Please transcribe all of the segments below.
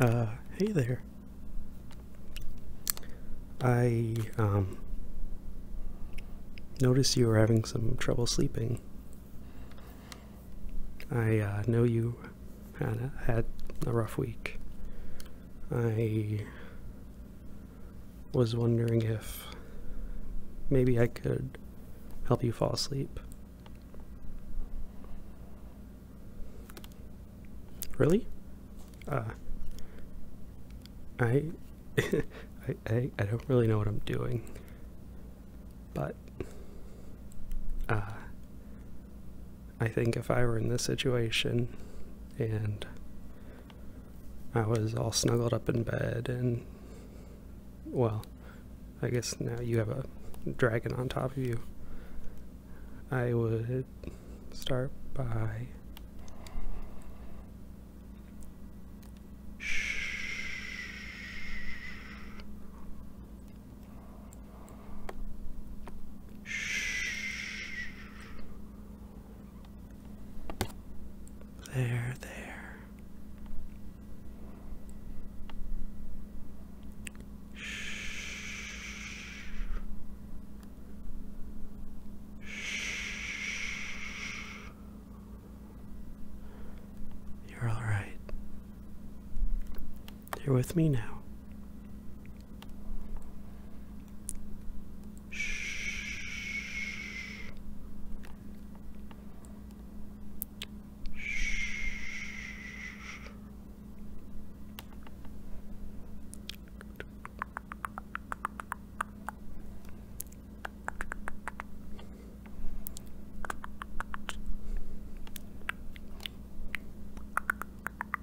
Uh, hey there. I, um, noticed you were having some trouble sleeping. I, uh, know you had a rough week. I was wondering if maybe I could help you fall asleep. Really? Uh, I, I, I, don't really know what I'm doing, but, uh, I think if I were in this situation and I was all snuggled up in bed and well, I guess now you have a dragon on top of you. I would start by Shh. There, there. Shh. Shh. You're all right. You're with me now. Shh. Shh.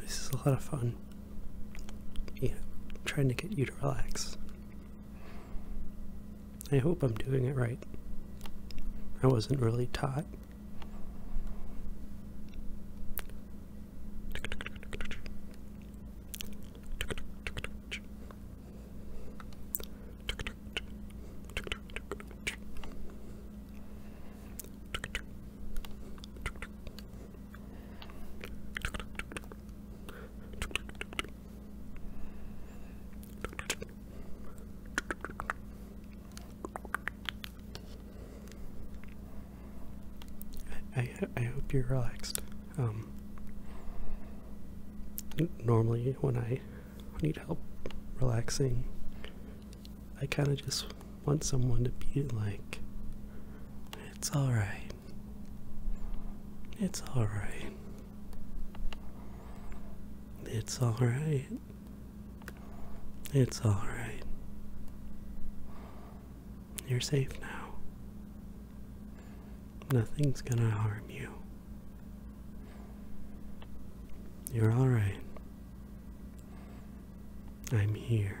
This is a lot of fun. You trying to get you to relax. I hope I'm doing it right. I wasn't really taught. I, I, hope you're relaxed. Um, normally, when I need help relaxing, I kind of just want someone to be like, it's alright. It's alright. It's alright. It's alright. You're safe now. Nothing's gonna harm you. You're alright. I'm here.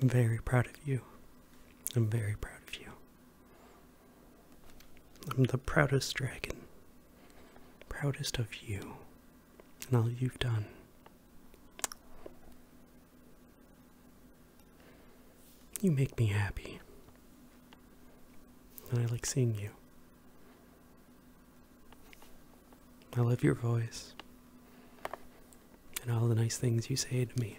I'm very proud of you. I'm very proud of you. I'm the proudest dragon. Proudest of you and all you've done. You make me happy. And I like seeing you. I love your voice and all the nice things you say to me.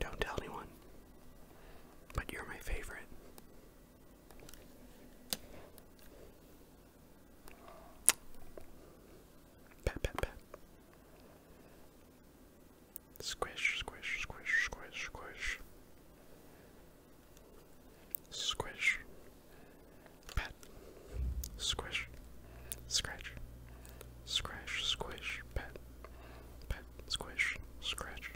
Don't tell anyone, but you're my favorite. Pat, pat, pat. Squish, squish, squish, squish, squish. Squish. Pat. Squish. Scratch. Scratch, squish, pat. Pat, squish, scratch.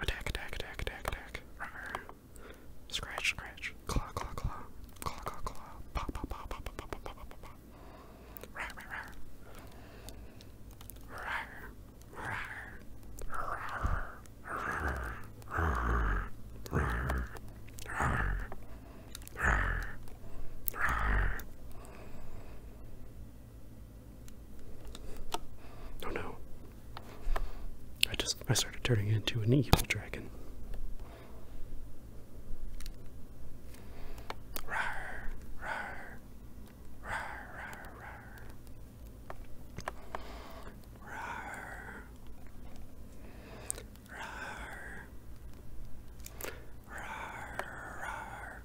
Attack, attack, attack, attack, attack. Rawr. Scratch, scratch. Claw, claw, claw. Claw, claw, claw. Pop, pop, pop, pop, pop, pop, pop, pop, pop, pop. Rawr, rawr, rawr. Rawr, rawr, rawr, rawr, rawr, rawr, rawr, rawr, rawr. Oh no. I just I started turning into an evil dragon. Rar, rar, rar, rar, rar. Rar. Rar. Rar,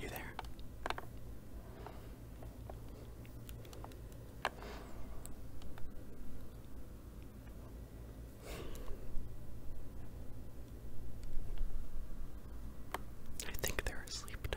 You there? I think they're asleep now.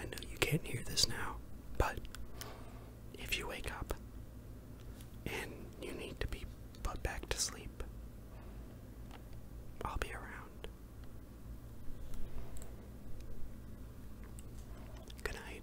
I know you can't hear this now, but if you wake up and you need to be put back to sleep, I'll be around. Good night.